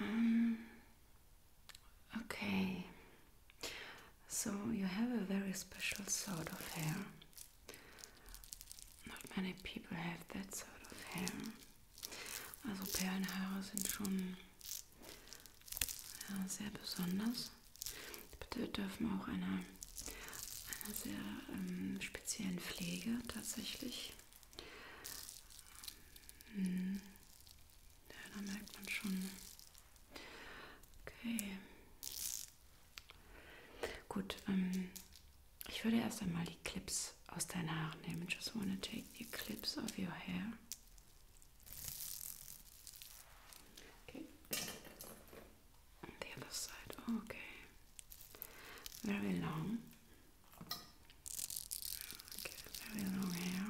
Um, okay. So you have a very special sort of hair. Not many people have that sort of hair. Also Perlenhaare sind schon ja, sehr besonders. Bitte dürfen auch einer, einer sehr ähm, speziellen Pflege tatsächlich hm. Ja, da merkt man schon. Okay. Gut, ähm, ich würde erst einmal die Clips aus deinen Haaren nehmen. Just wanna take the clips of your hair. Okay. The other side. Okay. Very long. Okay, very long hair.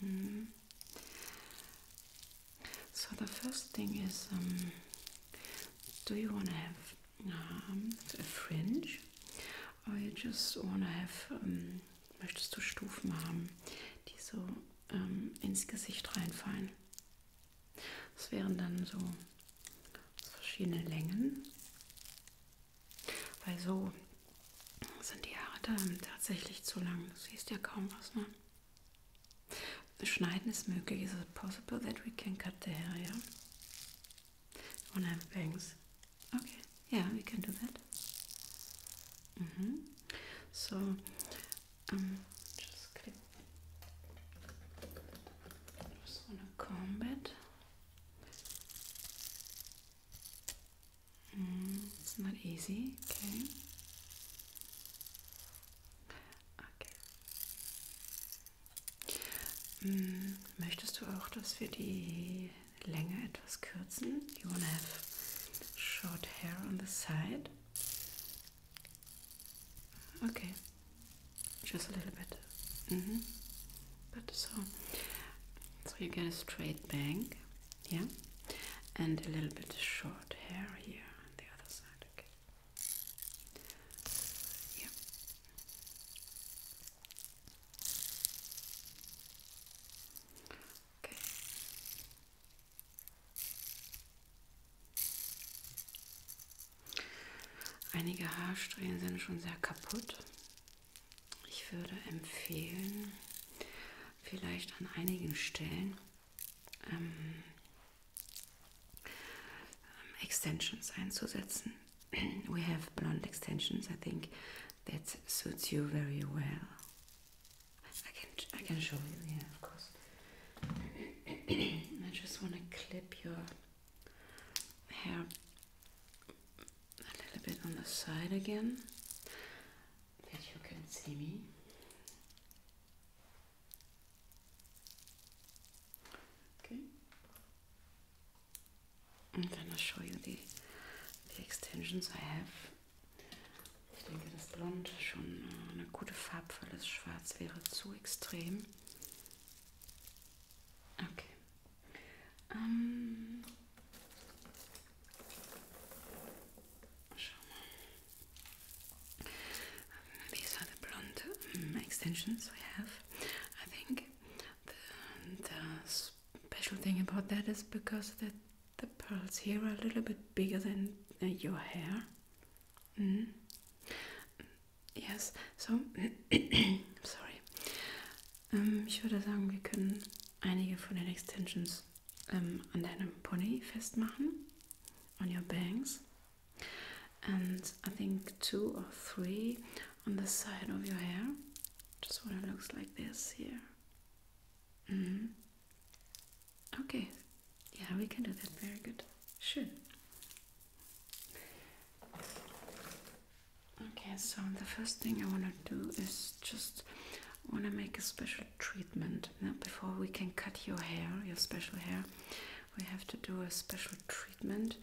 Mm -hmm. So the first thing is, um, do you want to have um, a fringe, or you just want to have? Um, möchtest du Stufen haben, die so ins Gesicht reinfallen? Das wären dann so verschiedene Längen. Weil so sind die Haare da tatsächlich zu lang. Du siehst ja kaum was, ne? Schneiden ist möglich. Is it possible that we can cut the hair, yeah? You wanna have bangs? Okay, yeah, we can do that. Mm -hmm. So, um, ähm, just click. Just wanna comb it. Mm, it's not easy, okay. Okay. Mm, möchtest du auch, dass wir die Länge etwas kürzen? You wanna have short hair on the side? Okay. Just a little bit. Mm-hmm. But so, so you get a straight bank, yeah, and a little bit short hair here on the other side. Okay. Yeah. Okay. Einige Haarsträhnen sind schon sehr kaputt. Ich würde empfehlen, vielleicht an einigen Stellen ähm, extensions einzusetzen. We have blonde extensions. I think that suits you very well. I can I can show you. Yeah, of course. I just want to clip your hair a little bit on the side again that you can see me. Okay. I'm gonna show you the, the extensions I have. Ich denke, das Blond schon äh, eine gute Farbwahl ist. Schwarz wäre zu extrem. Okay. Um, these are the blonde mm, extensions we have. I think the, special thing about that is because the, the pearls here are a little bit bigger than your hair. Mm. Yes, so, sorry. I'm Ähm, ich würde sagen, wir können einige von den Extensions ähm, an deinem Pony festmachen. On your bangs. And I think two or three on the side of your hair. Just what it looks like this here. Mm -hmm. Okay. Yeah, we can do that. Very good. Sure. Okay, so the first thing I want to do is just want to make a special treatment. Now, before we can cut your hair, your special hair, we have to do a special treatment,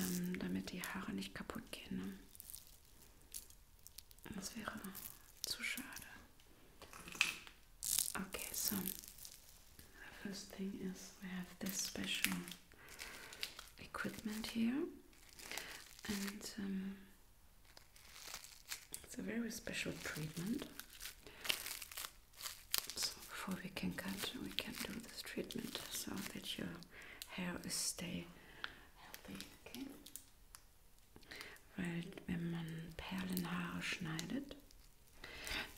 ähm, damit die Haare nicht kaputt gehen. Ne? Das wäre zu Okay, so the first thing is we have this special equipment here and um, it's a very special treatment so before we can cut we can do this treatment so that your hair is stay healthy okay weil wenn man Perlenhaare schneidet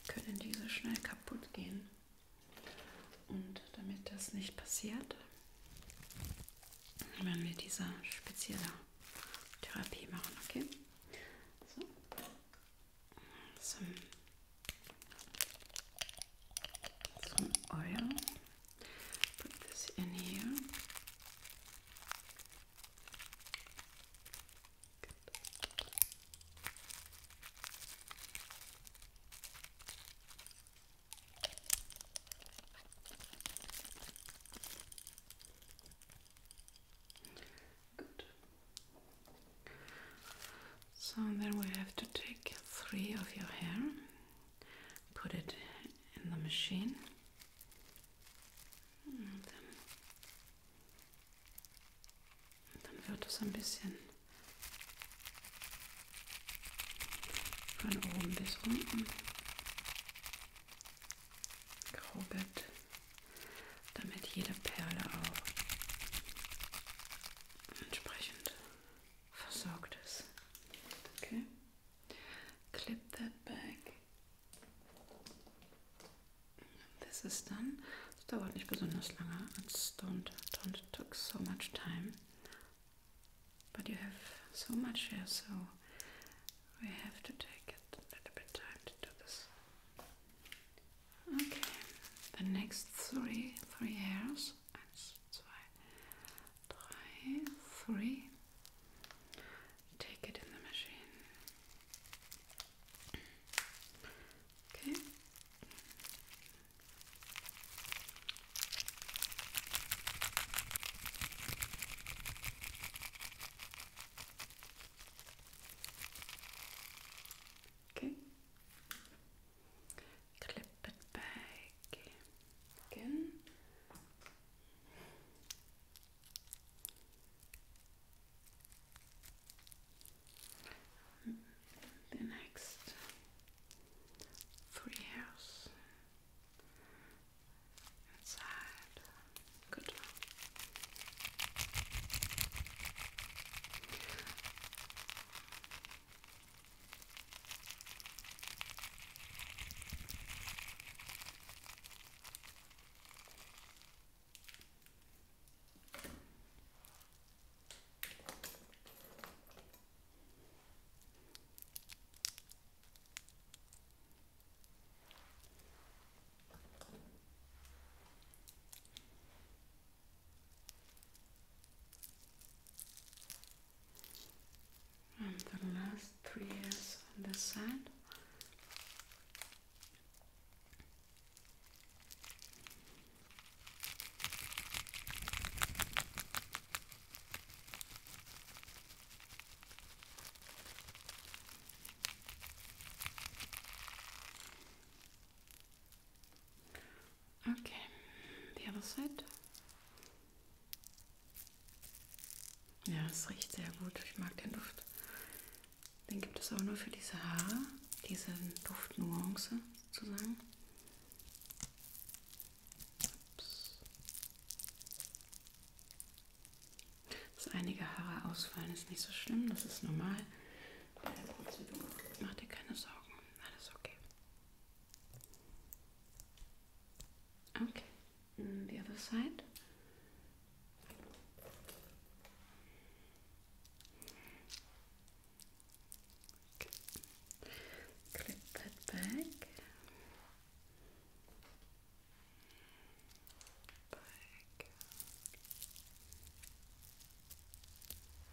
können diese schnell kaputt gehen Und damit das nicht passiert, werden wir diese spezielle Therapie machen, okay? So. Zum, zum Oil. Put this in here. Good. Good. So then we have to take three of your hair, put it in the machine, und dann, dann wird es ein bisschen Von oben bis unten. Graubett, damit jede Perle auch entsprechend versorgt ist. Okay. Clip that back. Das ist dann es dauert nicht besonders lange. It's don't don't took so much time. But you have so much here, so we have to take it a little bit time to do this. Okay, the next three three hairs. Eins, zwei, drei, three. Take it in the machine. Okay. Okay. Clip it back again the next three hairs inside. Good. And the last three years on the side. Okay, die other side. Ja, es riecht sehr gut. Ich mag den Duft. Dann gibt es auch nur für diese Haare, diese Duftnuance sozusagen. Ups. Dass einige Haare ausfallen, ist nicht so schlimm, das ist normal. Mach dir keine Sorgen, alles okay. Okay, mm, the other side. Okay. Clip that back.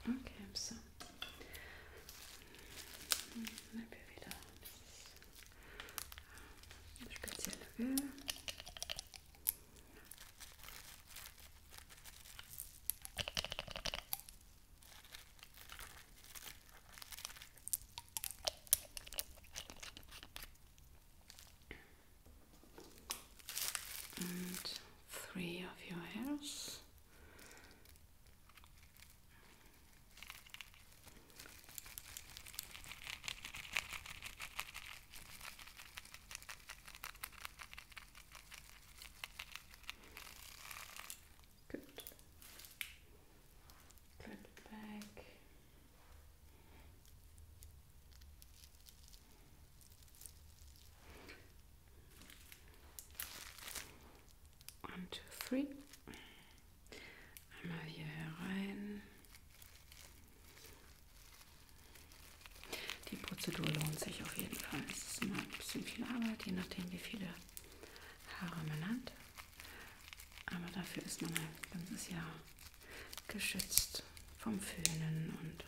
Okay, so najpierw wieder spezielle Öl and three of your hairs. Good. Good back. One, two, three. Einmal hier herein. Die Prozedur lohnt sich auf jeden Fall. Es ist immer ein bisschen viel Arbeit, je nachdem wie viele Haare man hat. Aber dafür ist man ein ganzes Jahr geschützt vom Föhnen und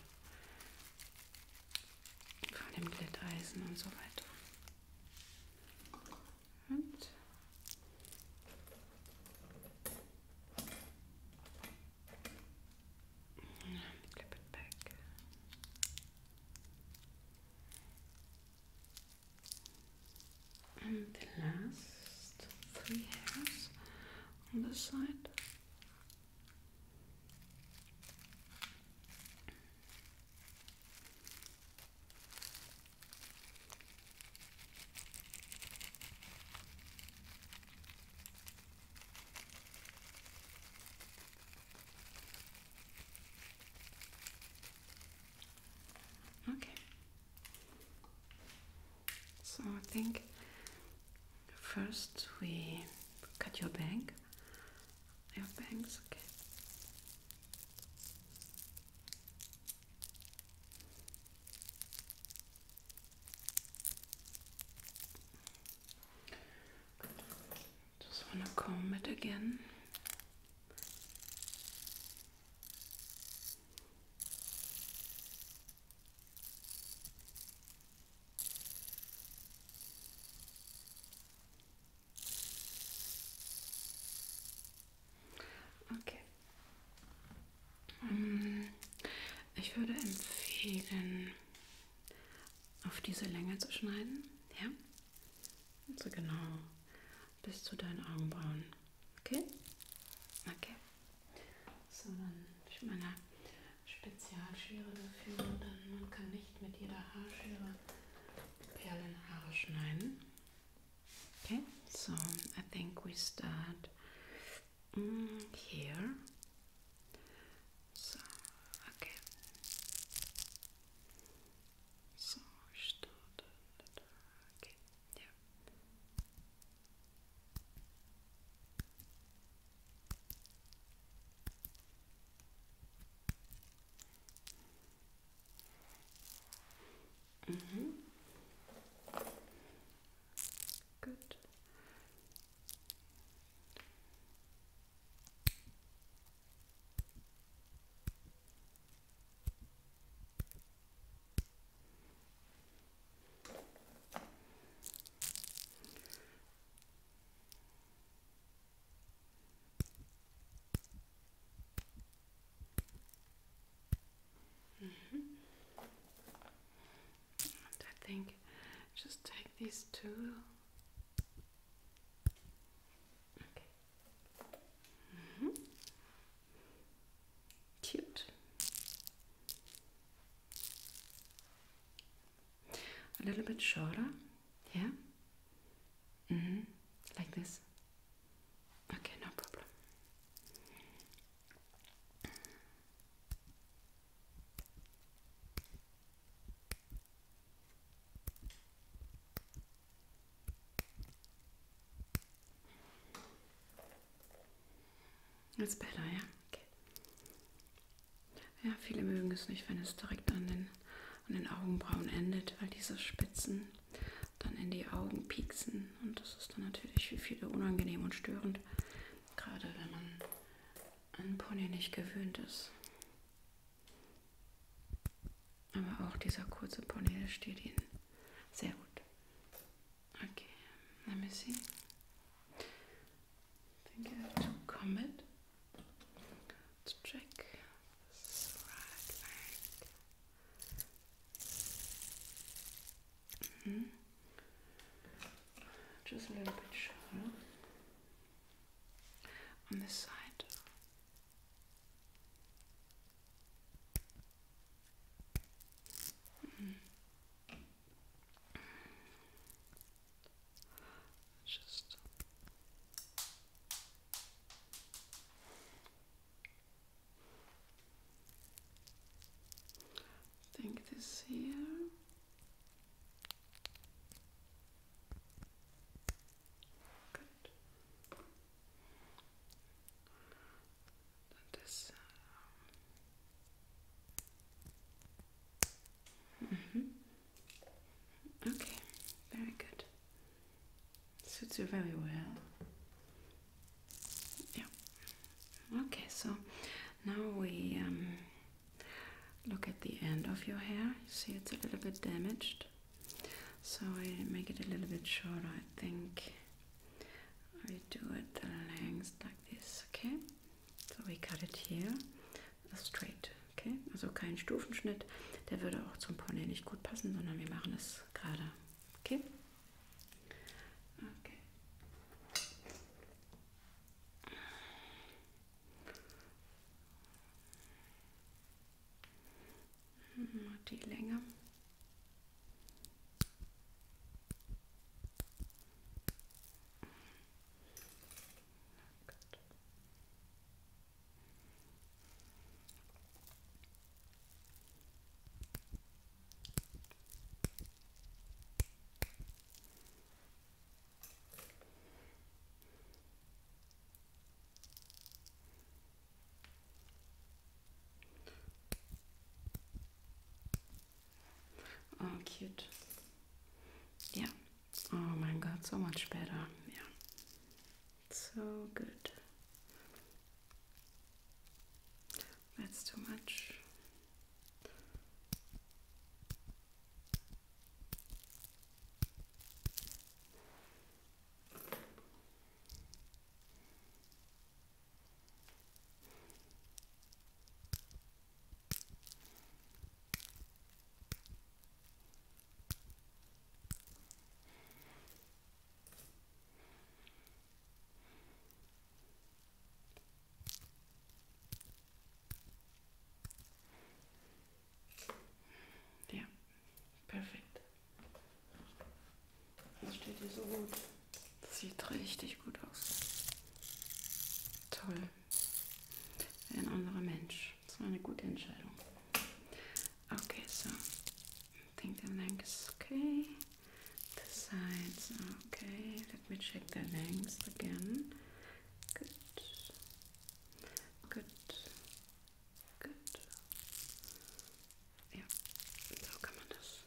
von dem Glätteisen und so weiter. Und clip it back. And the last three hairs on the side. Okay. So I think first we cut your bank. Your bangs, okay. Just want to comb it again. Okay. Mm, ich würde empfehlen, auf diese Länge zu schneiden, ja? So also genau bis zu deinen Augenbrauen, okay? Okay. So, dann ich meine Spezialschere dafür, denn man kann nicht mit jeder Haarschere Perlenhaare schneiden. Okay, so I think we start mm, here. So, okay. So, что Okay, yeah. Mm -hmm. Good. Mm -hmm. I think just take these two. Okay. Mm -hmm. Cute. A little bit shorter, yeah. Mm -hmm. Like this. Okay, no problem. That's better, ja? Okay. Ja, viele mögen es nicht, wenn es direkt an den, an den Augenbrauen endet, weil diese Spitzen dann in die Augen pieksen und das ist dann natürlich für viele unangenehm und störend. Gerade wenn man an Pony nicht gewöhnt ist. Aber auch dieser kurze Pony, der steht Ihnen sehr gut. Okay, let me see. I think I have to comment. Let's check. This right leg. Mhm. Just a little bit shallow on this side. Mm. Just I think this here. Good. And this. Um. Mm-hmm. Okay, very good. Suits you very well. yeah okay so now we um, look at the end of your hair you see it's a little bit damaged so I make it a little bit shorter I think I do it the length like this okay so we cut it here straight okay also kein Stufenschnitt der würde auch zum Pony nicht gut passen sondern wir machen es gerade okay Okay. Mal die Länge. Oh, cute. Yeah. Oh my god, so much better. Yeah. So good. That's too much. Ja, perfekt. Das steht dir so gut. Das sieht richtig gut aus. Toll. Ein anderer Mensch. Das war eine gute Entscheidung. Okay, so. I think the neck is okay the sides. Okay, let me check the length again. Good, good, good. Ja, so kann man das.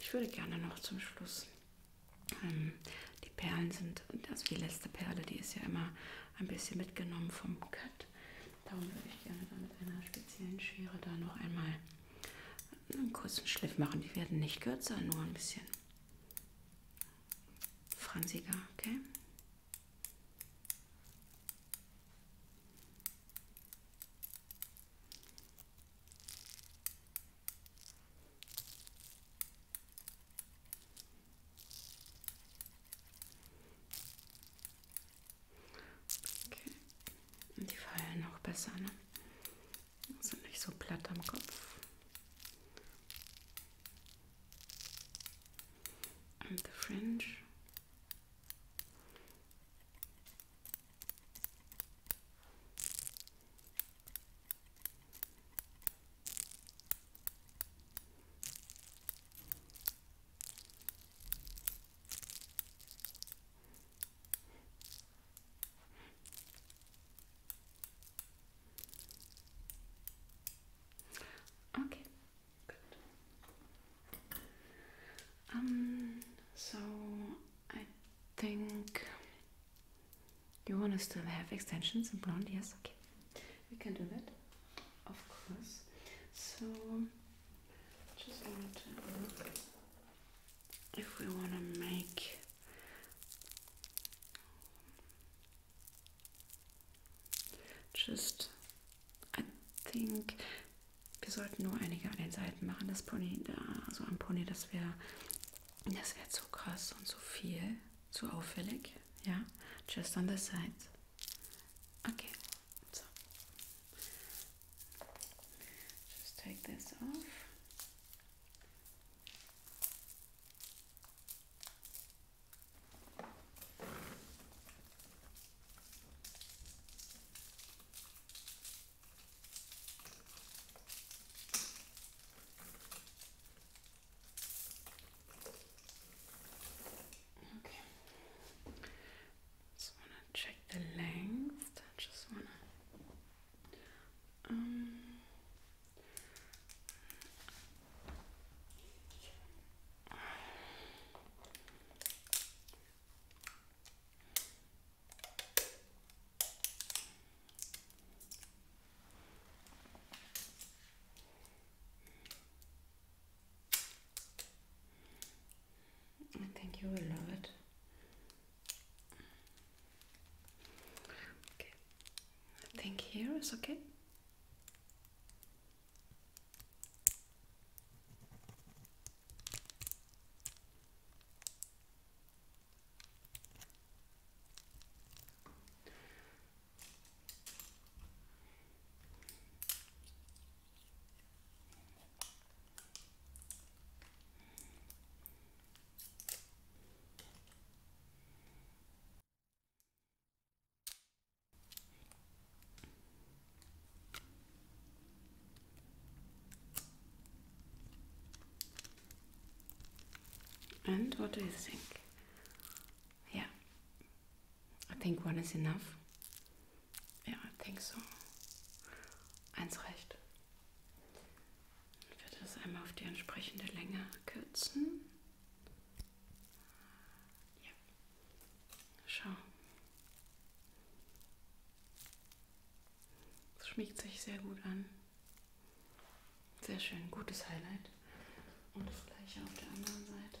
Ich würde gerne noch zum Schluss. Ähm, die Perlen sind, also die letzte Perle, die ist ja immer ein bisschen mitgenommen vom Cut. Darum würde ich gerne da mit einer speziellen Schere da noch einmal einen kurzen Schliff machen. Die werden nicht kürzer, nur ein bisschen fransiger, okay? Okay. Und die fallen auch besser, ne? Sind nicht so platt am Kopf. Und the fringe. Okay, good. Um, so I think you want to still have extensions and blonde, yes? Okay, we can do that, of course. So just want to look if we want to make just I think wir sollten nur einige an den Seiten machen das Pony da also am Pony das wäre das wäre zu krass und zu viel zu auffällig ja just on the sides okay just take this off. Okay. Just wanna check the length. I just wanna. Um, I think you will love it. Okay, I think here is okay. And what do you think? Yeah, I think one is enough. Ja, I think so. Eins reicht. Ich werde das einmal auf die entsprechende Länge kürzen. Ja. Schau. Es schmiegt sich sehr gut an. Sehr schön, gutes Highlight. Und das gleiche auf der anderen Seite.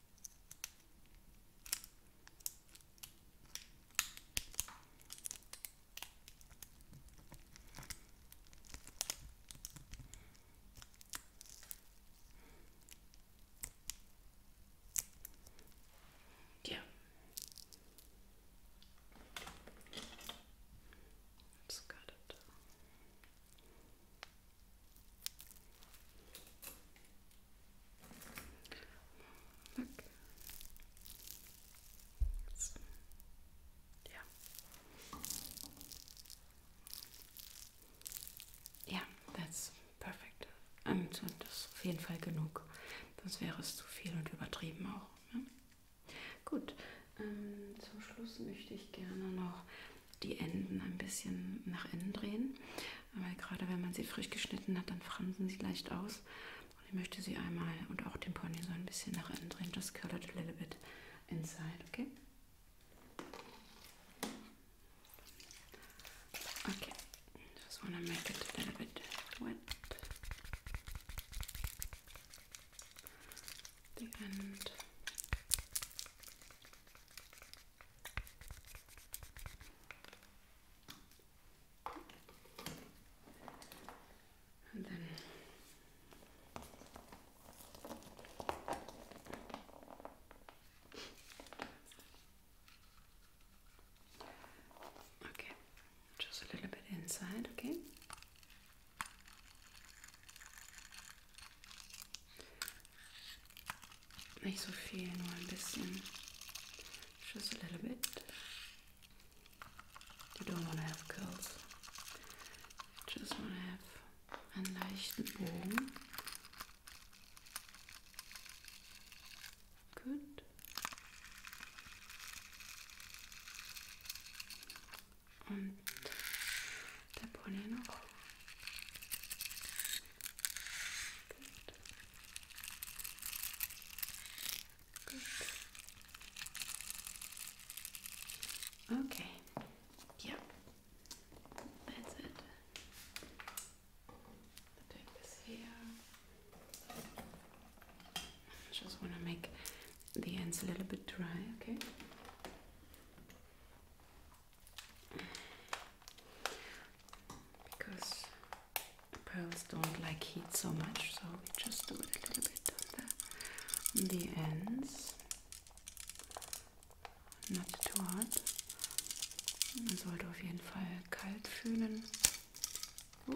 Yeah. Let's it. Okay. Ja. Ja, that's perfect. Und ähm, das ist auf jeden Fall genug. Sonst wäre es zu viel und übertrieben auch. Ne? Gut, ähm, zum Schluss möchte ich gerne noch die Enden ein bisschen nach innen drehen. Weil gerade wenn man sie frisch geschnitten hat, dann fransen sie leicht aus. Und ich möchte sie einmal und auch den Pony so ein bisschen nach innen drehen. Just curl it a little bit inside, okay? Okay, just wanna make it a little bit wet. The end. Okay, just a little bit inside, okay? Nicht so viel, nur ein bisschen. Just a little bit. You don't want to have curls. Just want to have einen leichten Bogen. Good. und der Okay. Yeah. That's it. Just want to make the ends a little bit dry, okay? because pearls don't like heat so much, so we just do it a little bit on the, ends, not too hot. Man sollte auf jeden Fall kalt fühlen. Oh.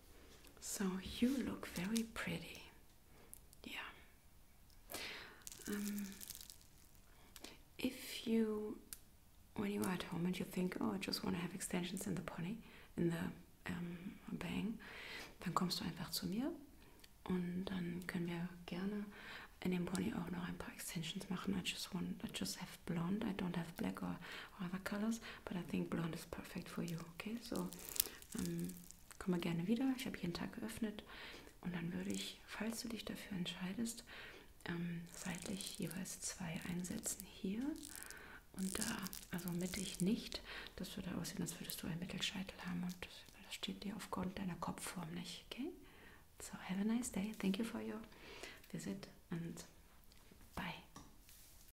So you look very pretty. Yeah. Um, if you, when you are at home and you think, oh, I just want to have extensions in the pony, in the um, Bang, then kommst du einfach zu mir und dann können wir gerne in dem Pony auch noch ein paar Extensions machen. I just want, I just have blonde, I don't have black or other colors, but I think blonde is perfect for you. Okay, so ähm, komm mal gerne wieder. Ich habe jeden Tag geöffnet und dann würde ich, falls du dich dafür entscheidest, ähm, seitlich jeweils zwei einsetzen hier und da, also mittig nicht. Das würde aussehen, als würdest du einen Mittelscheitel haben und das, das steht dir aufgrund deiner Kopfform nicht. Okay, so have a nice day. Thank you for your visit and bye.